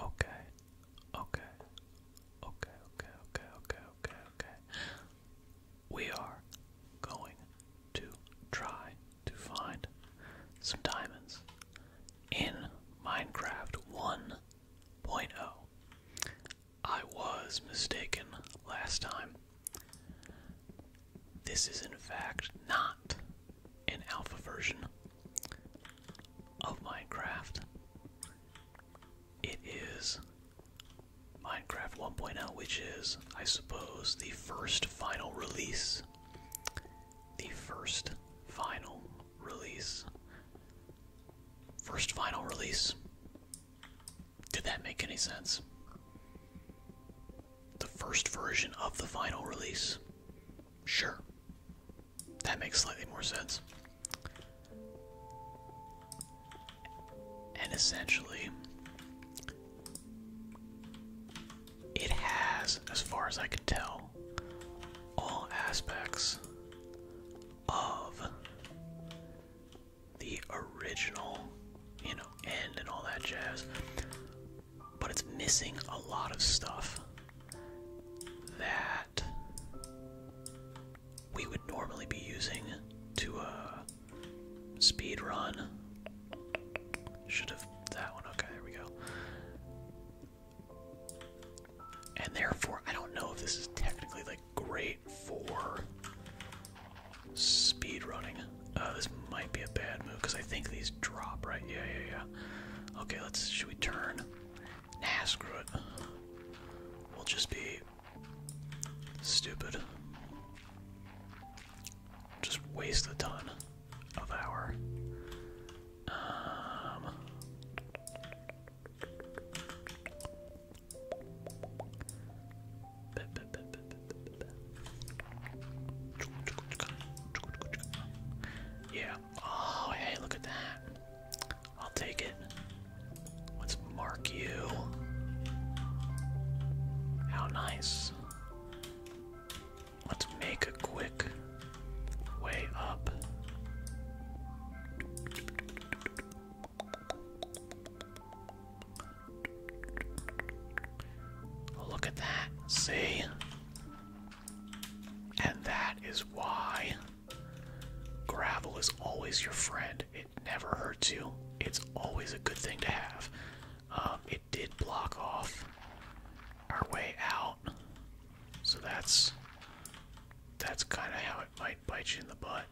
Okay, okay, okay, okay, okay, okay, okay, We are going to try to find some diamonds in Minecraft 1.0. I was mistaken last time. This is, in fact, not an alpha version of Minecraft. It is Minecraft 1.0, which is, I suppose, the first final release. The first final release. First final release. Did that make any sense? The first version of the final release? Sure. That makes slightly more sense. And essentially, it has, as far as I can tell, all aspects of the original, you know, end and all that jazz. But it's missing a lot of stuff that we would normally be using to uh, speed run. Should have that one. Okay, there we go. And therefore, I don't know if this is technically like great for speed running. Uh, this might be a bad move because I think these drop, right? Yeah, yeah, yeah. Okay, let's. Should we turn? Nah, screw it. We'll just be stupid. Just waste a ton of our. Um, yeah, Oh, hey, look at that. I'll take it. Let's mark you. How nice. Let's make a quick way up. Look at that. See? And that is why Gravel is always your friend. It never hurts you. It's always a good thing to have. Um, it did block off our way out, so that's that's kind of how it might bite you in the butt.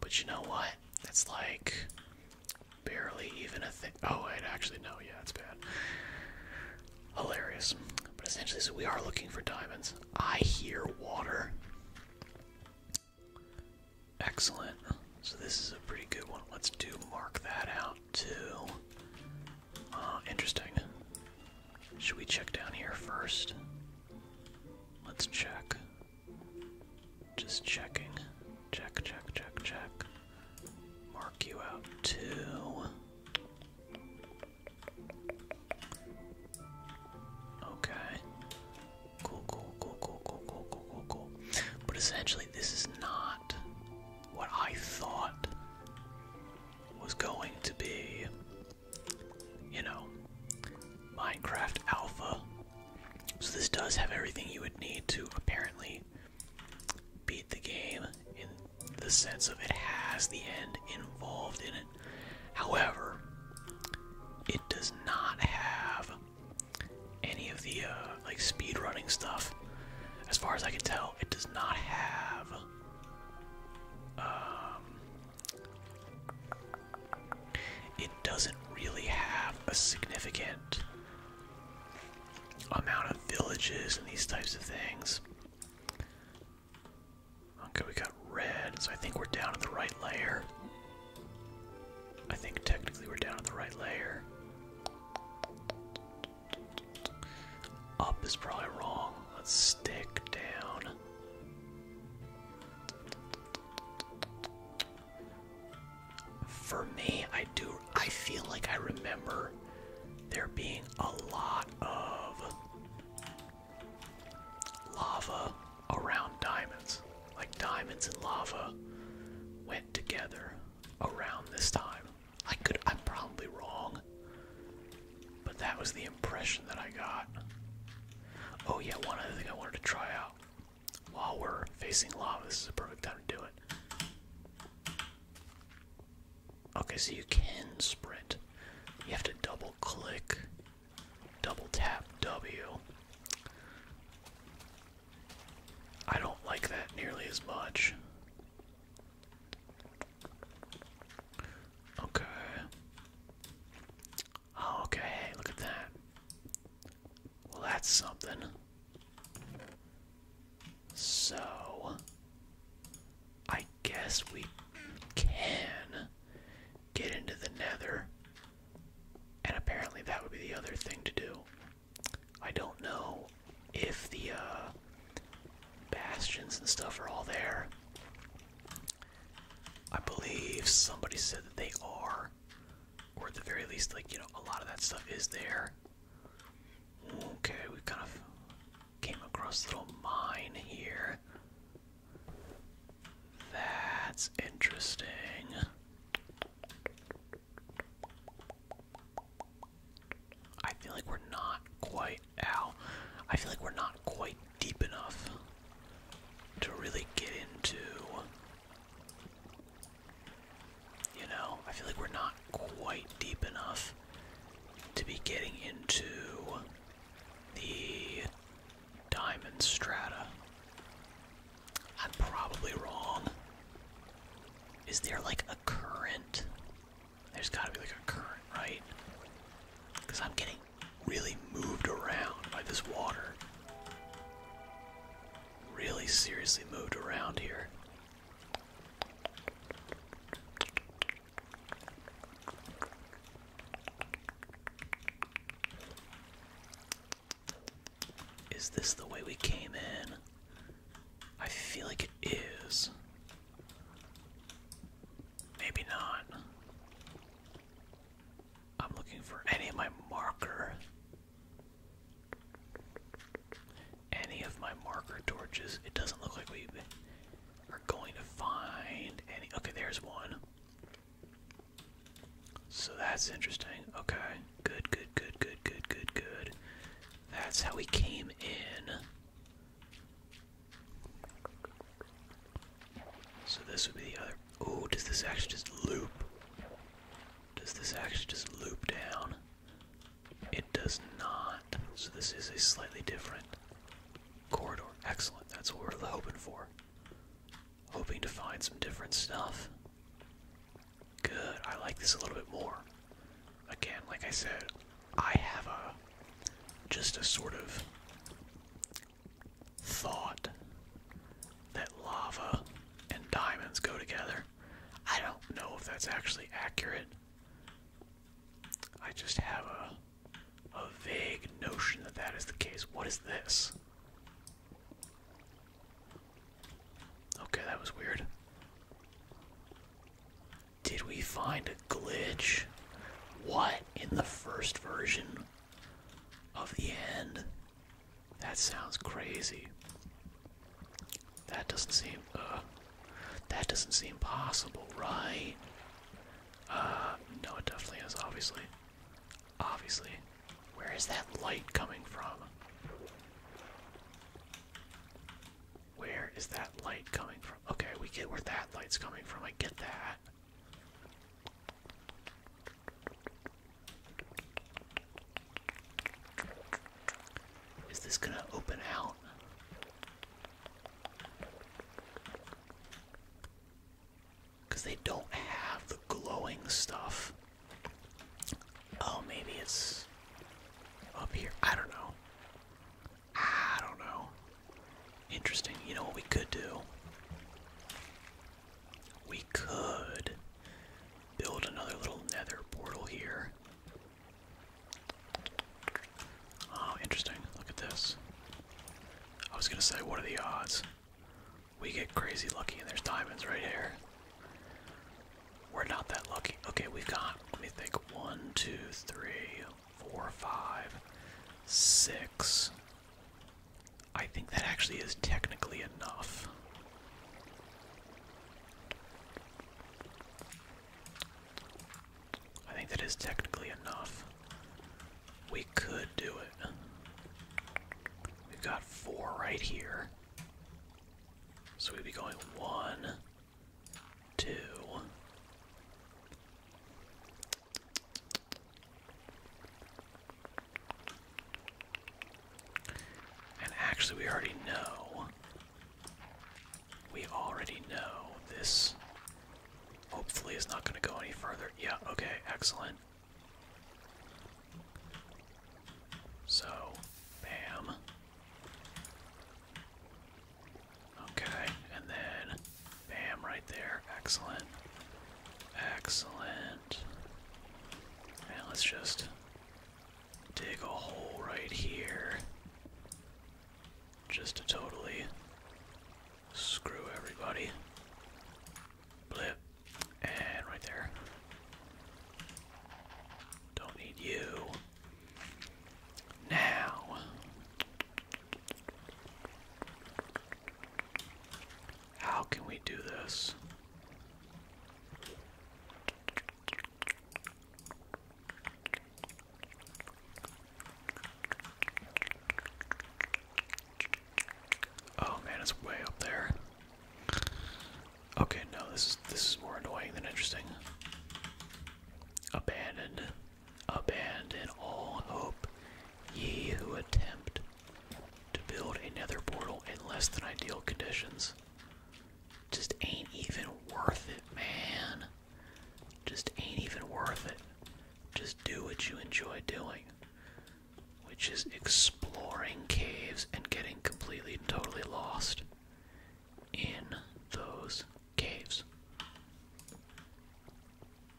But you know what? It's like barely even a thing. Oh wait, actually no, yeah, it's bad. Hilarious. But essentially, so we are looking for diamonds. I hear water. Excellent. So this is a pretty good one. Let's do mark that out too. Uh, interesting. Should we check down here first? Let's check. Just checking. Check, check, check, check. Mark you out too. Okay. Cool, cool, cool, cool, cool, cool, cool, cool, But essentially, this is not what I thought was going to be, you know, Minecraft Alpha. So, this does have everything you would need to apparently beat the game the sense of it has the end involved in it. However, it does not have any of the uh, like speed running stuff. As far as I can tell, it does not have. Um, it doesn't really have a significant amount of villages and these types of things. Okay, we got red, so I think we're down in the right layer. I think technically we're down in the right layer. Up is probably wrong. Let's stick down. For me, I do I feel like I remember there being a lot of lava around diamonds. Like diamonds and lava went together around this time. I could I'm probably wrong. But that was the impression that I got. Oh yeah, one other thing I wanted to try out. While we're facing lava, this is a perfect time to do it. Okay, so you can sprint. You have to double click, double tap W. I don't like that nearly as much. Okay. Oh, okay, look at that. Well, that's something. So, I guess we can get into the nether. And apparently that would be the other thing to do. I don't know if the uh, bastions and stuff are all there. I believe somebody said that they are. Or at the very least, like, you know, a lot of that stuff is there. Okay, we kind of Came across little mine here. That's interesting. I feel like we're not quite out. I feel like we're not quite deep enough to really get into. You know, I feel like we're not quite deep enough to be getting into the diamond strata. I'm probably wrong. Is there like a current? There's gotta be like a current, right? Because I'm getting really moved around by this water. Really seriously moved around here. Is this the way we came in? I feel like it is. Maybe not. I'm looking for any of my marker. Any of my marker torches. It doesn't look like we are going to find any. Okay, there's one. So that's interesting. Okay. Good, good, good, good, good, good, good. That's how we came in. So this would be the other. Oh, does this actually just loop? Does this actually just loop down? It does not. So this is a slightly different Corridor. Excellent. That's what we're hoping for. Hoping to find some different stuff. Good. I like this a little bit more. Again, like I said, I have a just a sort of thought that lava and diamonds go together. I don't know if that's actually accurate. I just have a a vague notion that that is the case. What is this? Okay, that was weird. Did we find a glitch? What in the first version of the end? That sounds crazy. That doesn't seem, uh, that doesn't seem possible, right? Uh, no, it definitely is, obviously. Obviously. Where is that light coming from? Where is that light coming from? Okay, we get where that light's coming from. I get that. Is this gonna open out? Because they don't have the glowing stuff. Oh, maybe it's up here. I don't know. I don't know. Interesting. You know what we could do? We could build another little nether portal here. Oh, interesting. Look at this. I was gonna say, what are the odds? We get crazy lucky and there's diamonds right here. We're not that lucky. Okay, we've got, let me think, one, two, three, four, five, six. I think that actually is technically enough. I think that is technically enough. We could do it. We've got four right here. So we'd be going one, two. And actually, we already know. We already know this Hopefully it's not going to go any further. Yeah, okay, excellent. So, bam. Okay, and then bam right there. Excellent. Excellent. And let's just dig a hole right here. Just to totally Screw everybody. Blip. And right there. Don't need you. Now. How can we do this? Oh man, it's way up there. Okay, no, this is this is more annoying than interesting. Abandon, abandon all hope, ye who attempt to build a portal in less than ideal conditions. Just ain't even worth it, man just ain't even worth it. Just do what you enjoy doing, which is exploring caves and getting completely and totally lost in those caves.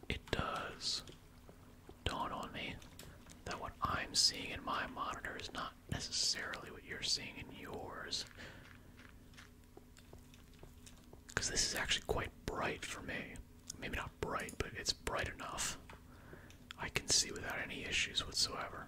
It does dawn on me that what I'm seeing in my monitor is not necessarily what you're seeing in yours. Because this is actually quite bright for me. Maybe not bright, but it's bright enough. I can see without any issues whatsoever.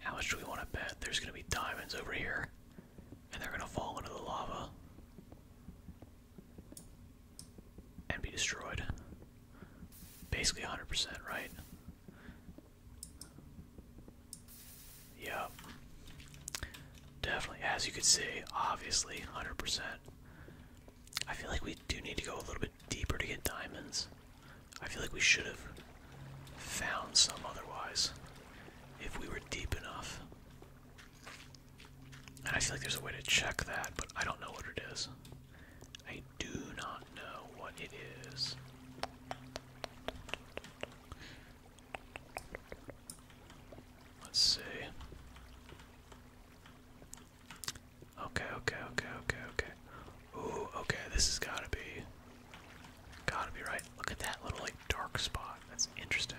How much do we want to bet there's going to be diamonds over here and they're going to fall into the lava and be destroyed? Basically 100%, right? Yep. Definitely. As you can see, obviously 100%. I feel like we do need to go a little bit deeper to get diamonds. I feel like we should have found some otherwise if we were deep enough. And I feel like there's a way to check that, but I don't know what it is. I do not know what it is. Let's see. Okay, okay, okay, okay, okay. Ooh, okay, this has gotta be. Gotta be right. Look at that little, like, dark spot. That's interesting.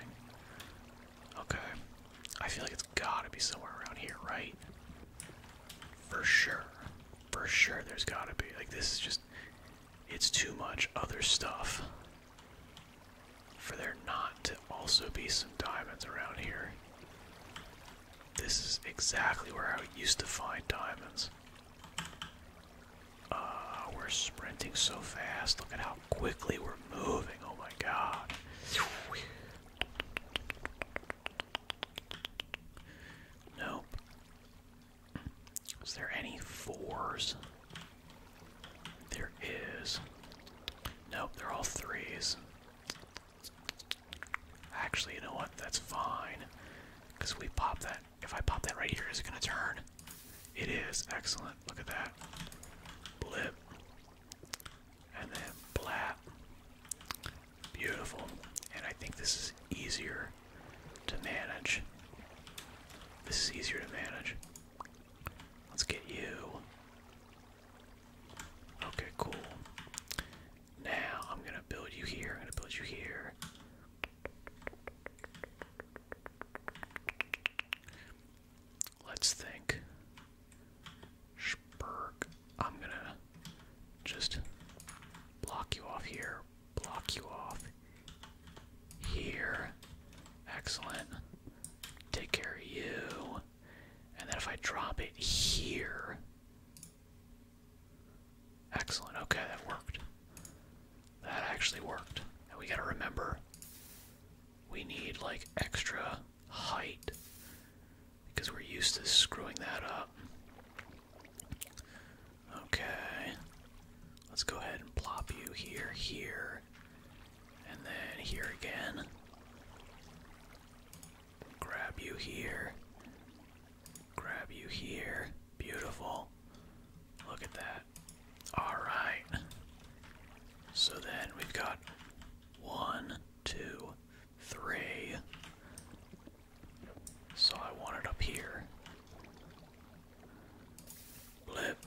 Okay. I feel like it's gotta be somewhere around here, right? For sure. For sure, there's gotta be. Like, this is just. It's too much other stuff for there not to also be some diamonds around here. This is exactly where I used to find diamonds. Uh, we're sprinting so fast. Look at how quickly we're moving. Oh my god. Nope. Is there any fours? There is. Nope, they're all threes. Actually, you know what? That's fine. Because we popped that if I pop that right here, is it gonna turn? It is. Excellent. Look at that. Blip. And then blap. Beautiful. And I think this is easier to manage. This is easier to manage. Let's get you. Okay, cool. Now I'm gonna build you here. I'm gonna build you here. Let's think. Spurg. I'm gonna just block you off here, block you off here. Excellent. Take care of you. And then if I drop it here, Excellent. Okay, that worked. That actually worked. And we gotta remember we need like extra height because we're used to screwing that up. Okay. Let's go ahead and plop you here, here, and then here again. Grab you here, Grab you here. Beautiful. Look at that. Alright. So then we've got one, two, three. So I want it up here. Blip.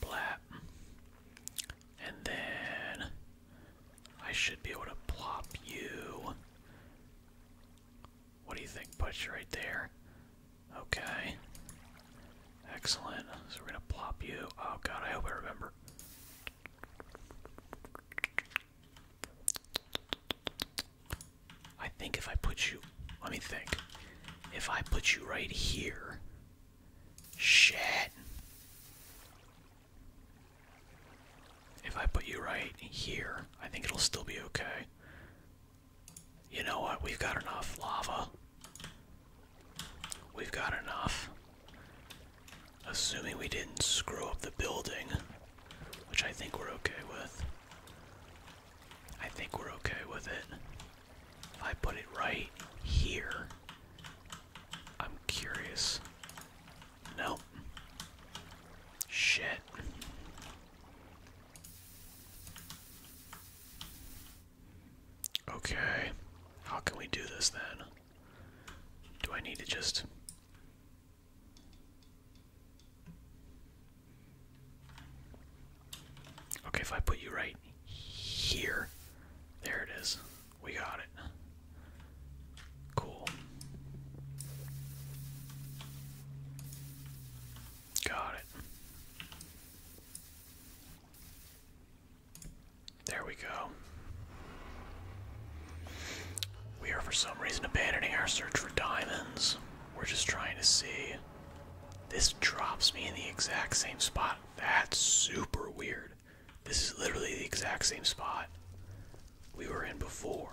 Blap. And then I should be able to plop you. What do you think? Put you right there. Okay. Excellent. So we're gonna plop you. Oh god, I hope I remember. I think if I put you. Let me think. If I put you right here. Shit. If I put you right here, I think it'll still be okay. You know what? We've got enough lava. We've got enough. Assuming we didn't screw up the building, which I think we're okay with. I think we're okay with it. If I put it right here, I'm curious Nope. Shit. Okay. How can we do this then? Do I need to just. Okay, if I put you right here. There it is. We got it. Cool. Got it. There we go. We are for some reason abandoning our search for diamonds. We're just trying to see. This drops me in the exact same spot. That's super weird. This is literally the exact same spot we were in before.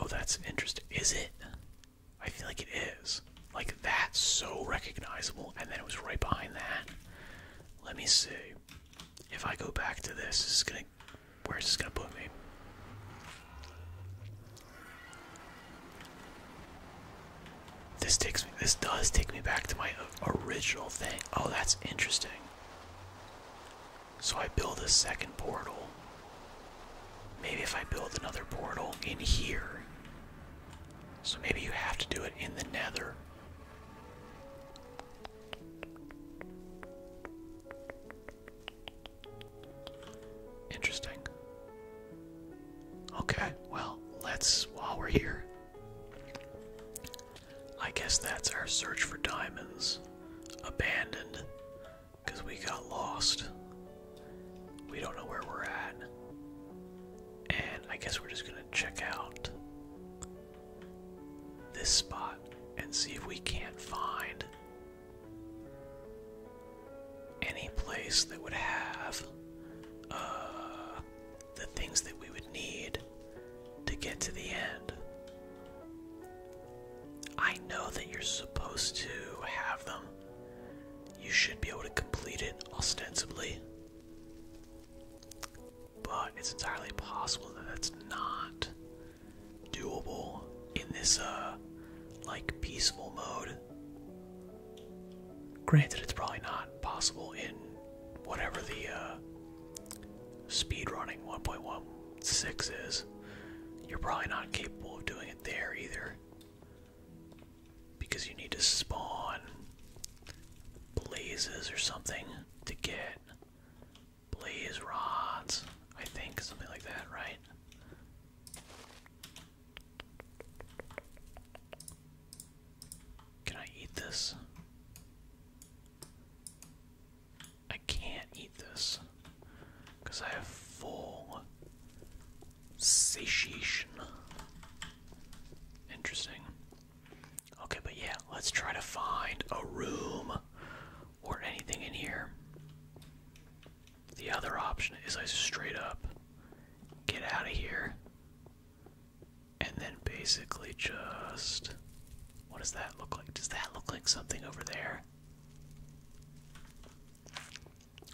Oh, that's interesting. Is it? I feel like it is. Like that's so recognizable, and then it was right behind that. Let me see. If I go back to this, this is gonna. Where's this gonna put me? This takes me. This does take me back to my original thing. Oh, that's interesting. So I build a second portal. Maybe if I build another portal in here. So maybe you have to do it in the nether. Interesting. Okay, well, let's, while we're here, I guess that's our search for diamonds. Abandoned. Because we got lost. We don't know where we're at. And I guess we're just going to check out this spot and see if we can't find any place that would have uh, the things that we would need to get to the end. I know that you're supposed to have them. You should be able to complete it ostensibly. But it's entirely possible that that's not doable in this, uh, like, peaceful mode. Granted, it's probably not possible in whatever the, uh, speedrunning 1.16 is, you're probably not capable of doing it there either. Because you need to spawn blazes or something to get blaze rods, I think, something like that, right? Can I eat this? I can't eat this because I have full satiation. Interesting. Okay, but yeah, let's try to find a room or anything in here. The other option is I straight up get out of here and then basically just what does that look like? Does that look like something over there?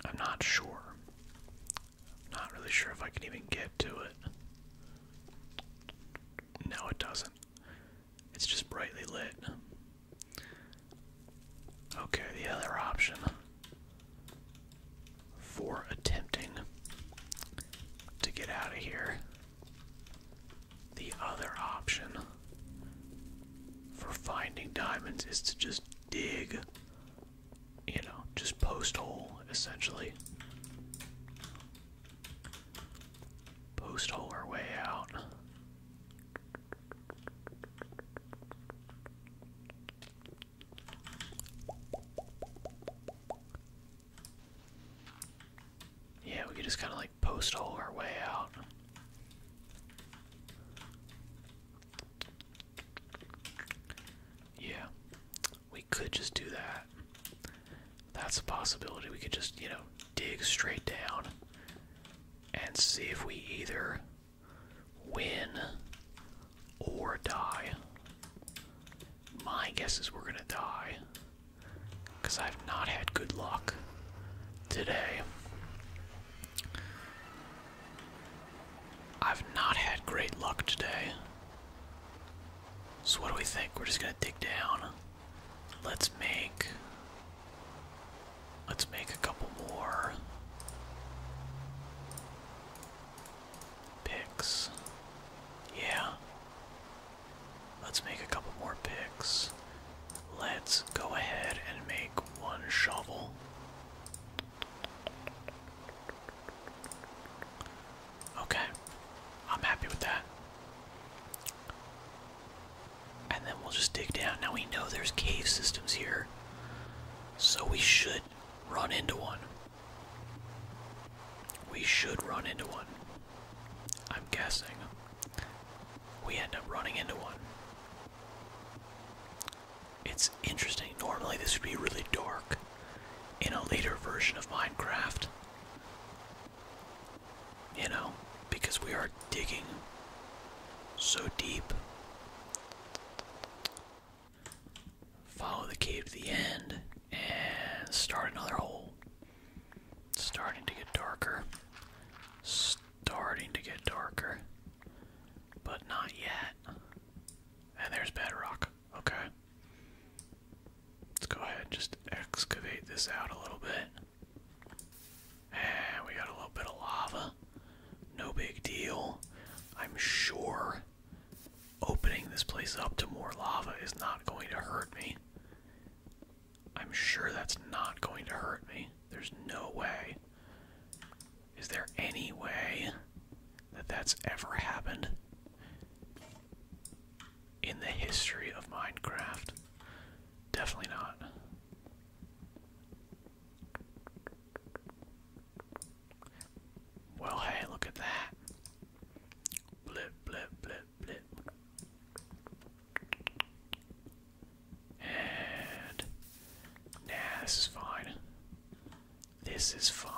I'm not sure. I'm not really sure if I can even get to it. No, it doesn't. It's just brightly lit. Okay, the other option for attempting to get out of here the other option for finding diamonds is to just dig, you know, just post hole essentially. Post hole our way out. Yeah, we could just kind of like like postal our way out. Yeah, we could just do that. That's a possibility. We could just, you know, dig straight down and see if we either win or die. My guess is we're gonna die. Because I've not had good luck today. I've not had great luck today. So, what do we think? We're just gonna dig down. Let's make. Let's make a couple more picks. Yeah. Let's make a couple more picks. Let's go ahead and make one shovel. Okay, I'm happy with that. And then we'll just dig down. Now we know there's cave systems here, so we should run into one. We should run into one. I'm guessing we end up running into one. It's interesting. Normally, this would be really dark in a later version of Minecraft. You know, because we are digging so deep. Follow the cave to the end and start another hole. It's starting to get darker. Starting to get darker. But not yet. And there's bedrock. Okay. Let's go ahead and just excavate this out a little bit. And we got a little bit of lava. No big deal. I'm sure opening this place up to more lava is not going to hurt me. I'm sure that's not going to hurt me. There's no way. Is there any way that that's ever happened in the history of Minecraft? Definitely not. Well, hey, look at that. Blip, blip, blip. And nah, this is fine. This is fine.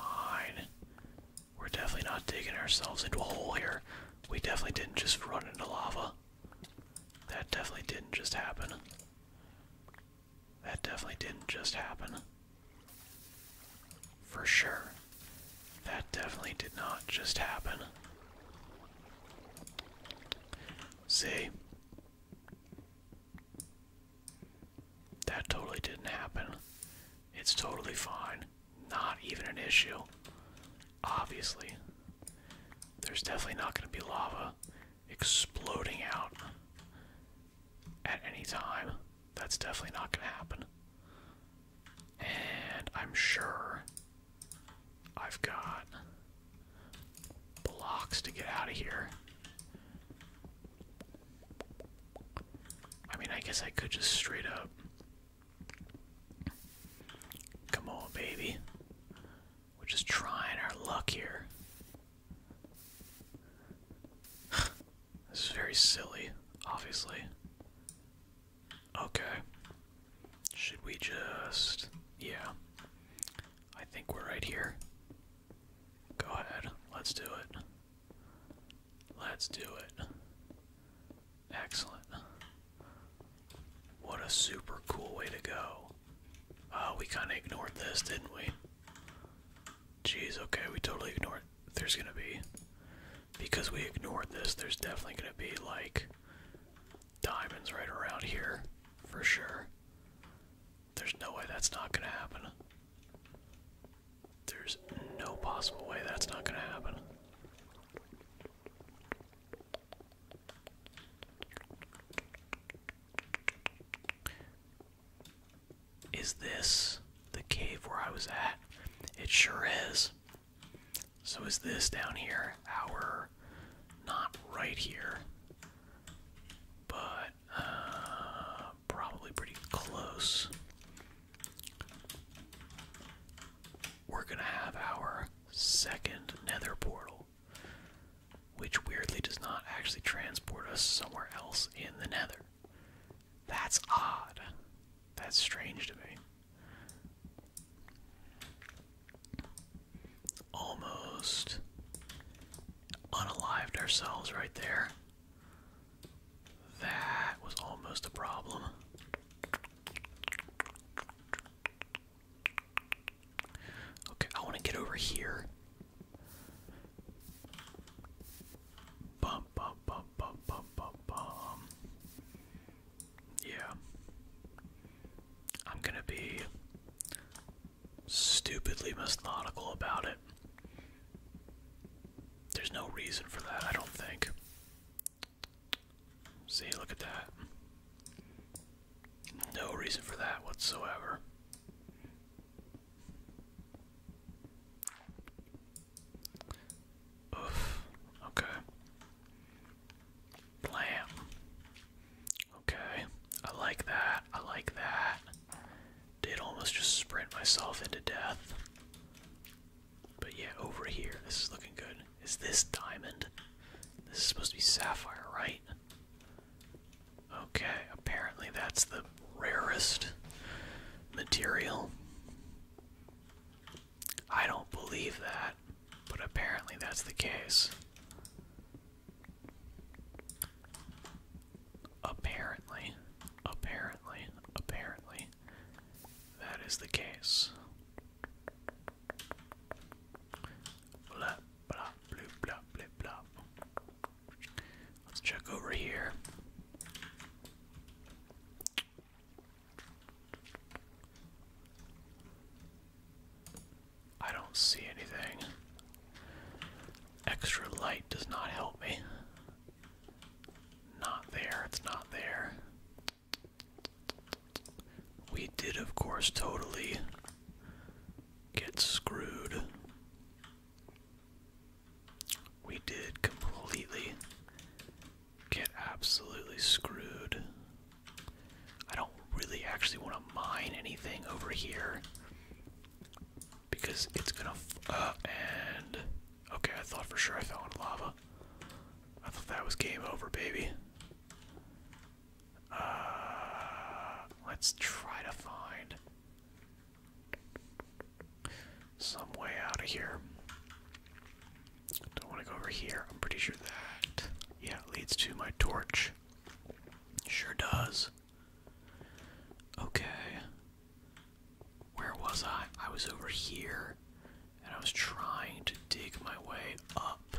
We're definitely not digging ourselves into a hole here. We definitely didn't just run into lava. That definitely didn't just happen. That definitely didn't just happen. For sure. That definitely did not just happen. See? That totally didn't happen. It's totally fine. Not even an issue. Obviously. There's definitely not going to be lava exploding out at any time. That's definitely not going to happen. And I'm sure I've got blocks to get out of here. I mean, I guess I could just straight up. Come on, baby. We're just trying our luck here. this is very silly, obviously. Okay. Should we just. Yeah. I think we're right here. Go ahead. Let's do it. Let's do it. Excellent. What a super cool way to go. Oh, we kind of ignored this, didn't we? Jeez, okay, we totally ignored. There's gonna be. Because we ignored this, there's definitely gonna be, like, diamonds right around here, for sure. There's no way that's not gonna happen. There's no possible way that's not gonna happen. Is this the cave where I was at? It sure is. So is this down here our not right here, but uh, probably pretty close. We're gonna have our second nether portal, which weirdly does not actually transport us somewhere else in the nether. That's odd. That's strange to me. Almost unalived ourselves right there. That was almost a problem. Okay, I want to get over here. Bum, bum, bum, bum, bum, bum, yeah. I'm gonna be stupidly methodical about it. There's no reason for that, I don't think. See, look at that. No reason for that whatsoever. Oof. Okay. Blam. Okay. I like that. I like that. Did almost just sprint myself into death. But yeah, over here. This is looking good. Is this diamond? This is supposed to be sapphire, right? Okay, apparently that's the rarest material. I don't believe that, but apparently that's the case. Apparently, apparently, apparently, that is the case. Blah, blah, blah, blah, blah, blah. Let's check over here. I don't see anything. Extra light does not help me. Not there, it's not there. We did, of course, totally get screwed. We did completely get absolutely screwed. I don't really actually want to mine anything over here because it's gonna. F uh, and. Okay, I thought for sure I fell in lava. I thought that was game over, baby. Uh, let's try to find some way out of here. Don't want to go over here. I'm pretty sure that, yeah, leads to my torch. Sure does. Okay. Where was I? I was over here, and I was trying to dig my way up.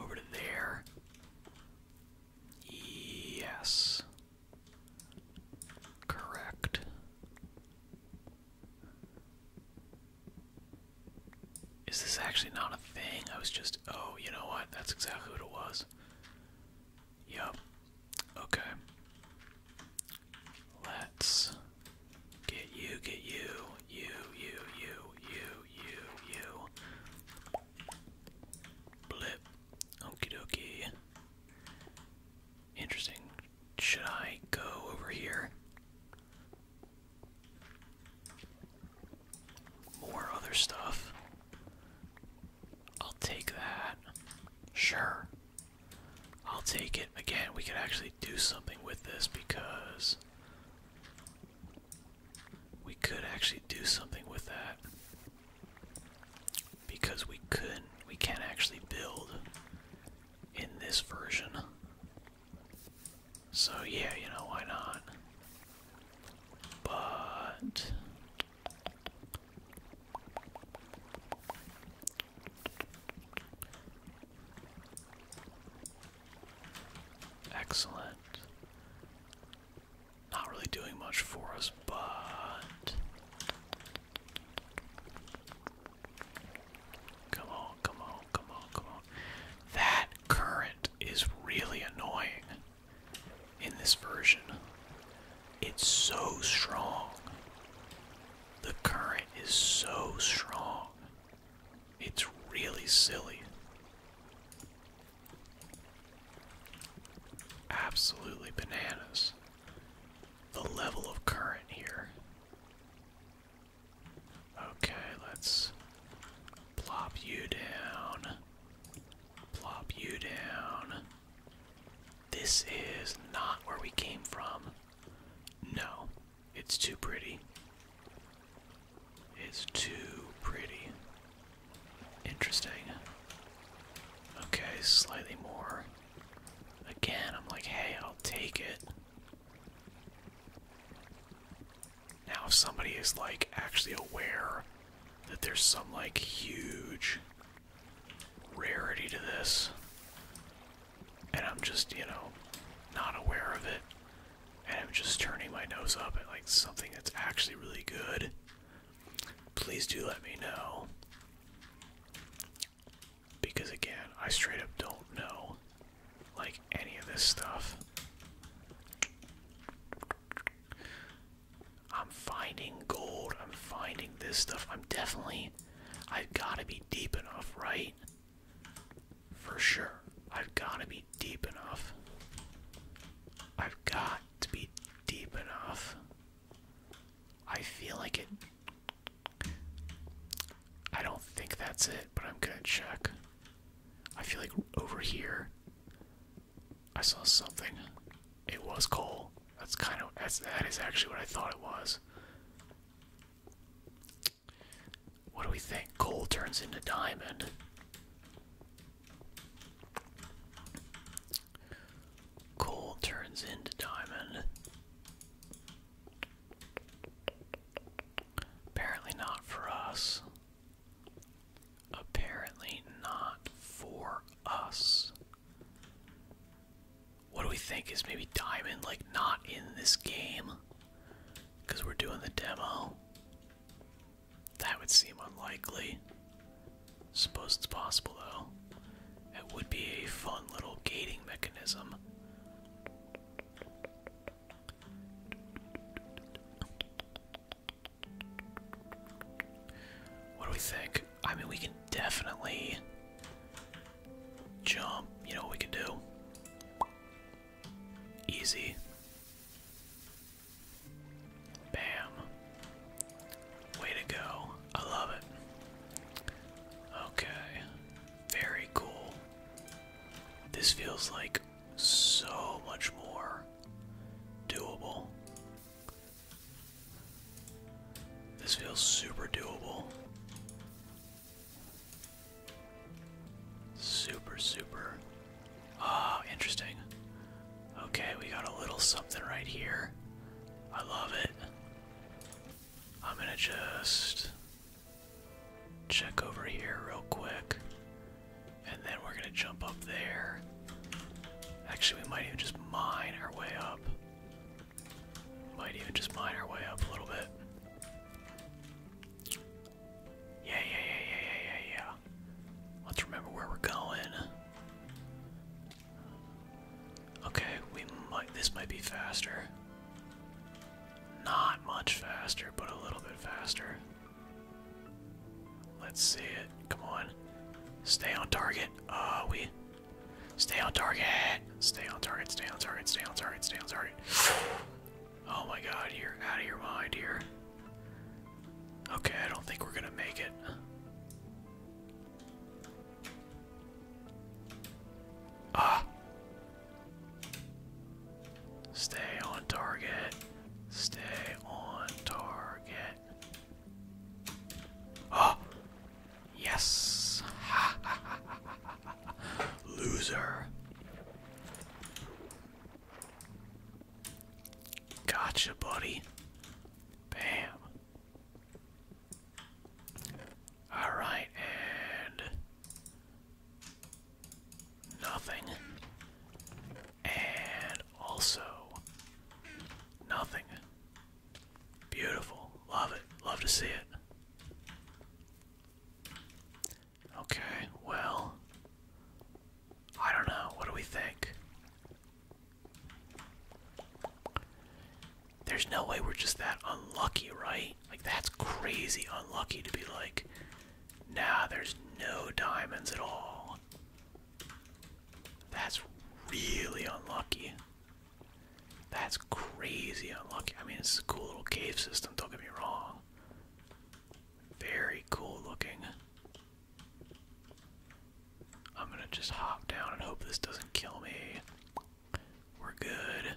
Over to there. Yes. Correct. Is this actually not a thing? I was just. Oh, you know what? That's exactly what it was. Yup. Okay. Let's get you, get you, you, you, you, you, you, you. Blip. Okie dokie. Interesting. Should I go over here? More other stuff. I'll take that. Sure. I'll take it. Again, we could actually do something with this because we could actually do something with that. Because we couldn't, we can't actually build in this version. So yeah, you know, why not? But excellent. Not really doing much for us, but Come on, come on, come on, come on. That current is really annoying in this version. It's so strong. The current is so strong. It's really silly. Absolutely bananas. The level of current here Okay, let's plop you down. Plop you down. This is not where we came from. No, it's too pretty. It's too pretty. Interesting. Okay, slightly more. Again, I'm like, hey, I'll take it. Now, if somebody is like actually aware that there's some like huge rarity to this, and I'm just, you know, not aware of it, and I'm just turning my nose up at like something that's actually really good, please do let me know. Because again, I straight up don't know like any of this stuff. I'm finding gold. I'm finding this stuff. I'm definitely I've got to be deep enough, right? For sure. I've got to be deep enough. I've got to be deep enough. I feel like it I don't think that's it, but I'm gonna check. I feel like over here I saw something. It was coal. That's kind of that's actually what I thought it was. What do we think? Coal turns into diamond. Coal turns into diamond. Apparently not for us. Apparently not for us. What do we think is maybe diamond like not in this game? Because we're doing the demo. That would seem unlikely. Suppose it's possible though. It would be a fun little gating mechanism. What do we think? I mean, we can definitely jump. You know what we can do? Easy. Bam. Way to go. I love it. Okay. Very cool. This feels like so much more doable. This feels super doable. Super, super. Ah, interesting. Okay, we got a little something right here. I love it. I'm gonna just check over here real quick. And then we're gonna jump up there. Actually, we might even just mine our way up. Might even just mine our way up a little bit. Yeah, yeah, yeah, yeah, yeah, yeah, yeah. Let's remember where we're going. Okay, we might. This might be faster. Not much faster, but a little bit faster. Let's see it. Come on. Stay on target. Uh, we. Stay on target. Stay on target. Stay on target. Stay on target. Stay on target. Oh my god, you're out of your mind here. Okay, I don't think we're gonna make it. Ah. Stay on target. Stay on target. Oh! Yes! Loser. Gotcha, buddy. Bam. Alright, and Nothing. And also nothing. Beautiful. Love it. Love to see it. Okay, well, I don't know. What do we think? There's no way we're just that unlucky, right? Like that's crazy unlucky to be like, nah, there's no diamonds at all. That's really unlucky. That's crazy unlucky. I mean, it's a cool little cave system, don't get me wrong. Very cool looking. I'm gonna just hop down and hope this doesn't kill me. We're good.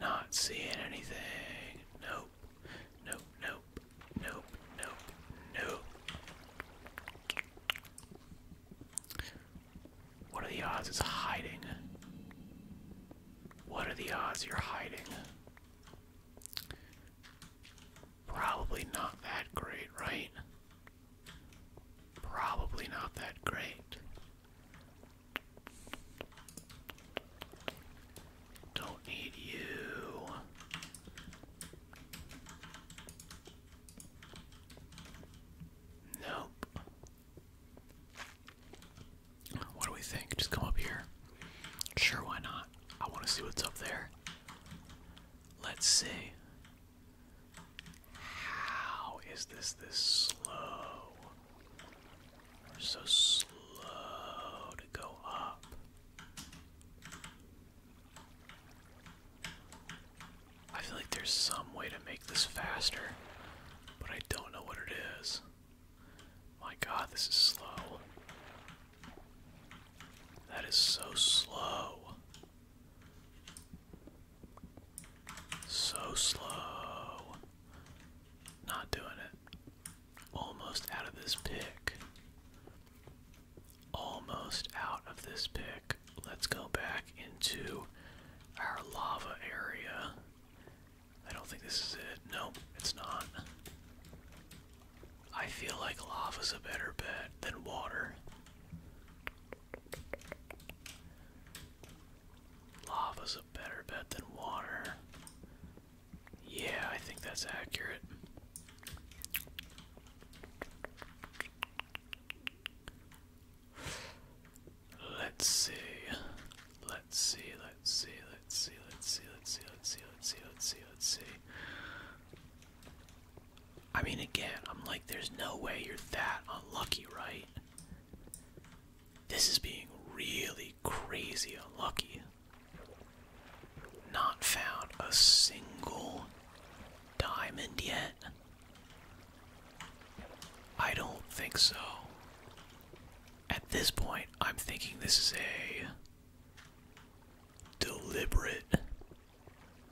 Not seeing anything. Nope. Nope. Nope. Nope. Nope. Nope. What are the odds it's hiding? What are the odds you're hiding? Probably not that great, right? Probably not that great. Don't need you. Nope. What do we think? Just come up here. Sure, why not? I want to see what's up there. Let's see. How is this this slow? We're so slow to go up. I feel like there's some way to make this faster, but I don't know what it is. My god, this is slow. That is so slow. So slow. Not doing it. Almost out of this pick. Almost out of this pick. Let's go back into our lava area. I don't think this is it. No, it's not. I feel like lava is a better bet than water. Lava's a better bet than water. Yeah, I think that's accurate. Let's see. Let's see, let's see, let's see, let's see, let's see, let's see, let's see, let's see, let's see. I mean, again, I'm like, there's no way you're that unlucky, right? This is being really crazy unlucky. Not found a single diamond yet. I don't think so. At this point, I'm thinking this is a deliberate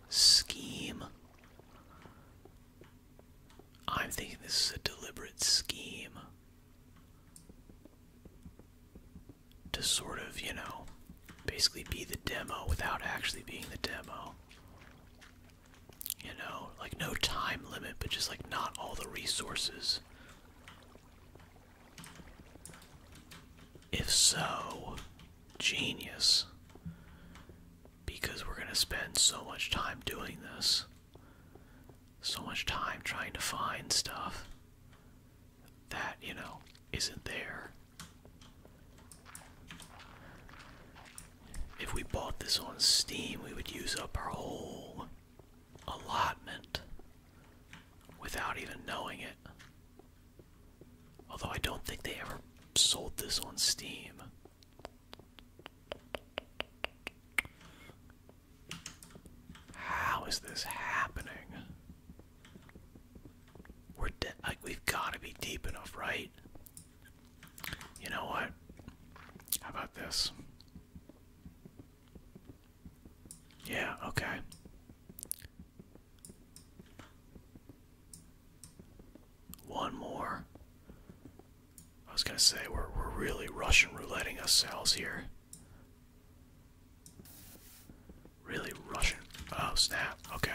scheme. I'm thinking this is a deliberate scheme to sort of, you know, basically be the demo without actually being the demo. You know, like no time limit, but just like not all the resources. If so, genius. Because we're going to spend so much time doing this so much time trying to find stuff that, you know, isn't there. If we bought this on Steam, we would use up our whole allotment without even knowing it. Although I don't think they ever sold this on Steam. How is this happening? We're de like we've got to be deep enough, right? You know what? How about this? Yeah, okay. One more. I was gonna say we're we're really Russian rouletting ourselves here. Really Russian. Oh snap! Okay,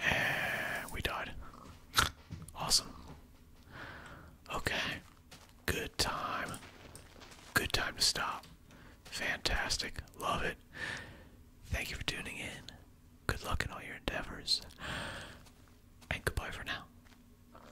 and we died. awesome. Okay, good time. Good time to stop. Fantastic. Love it. Thank you for tuning in. Good luck in all your endeavors. And goodbye for now.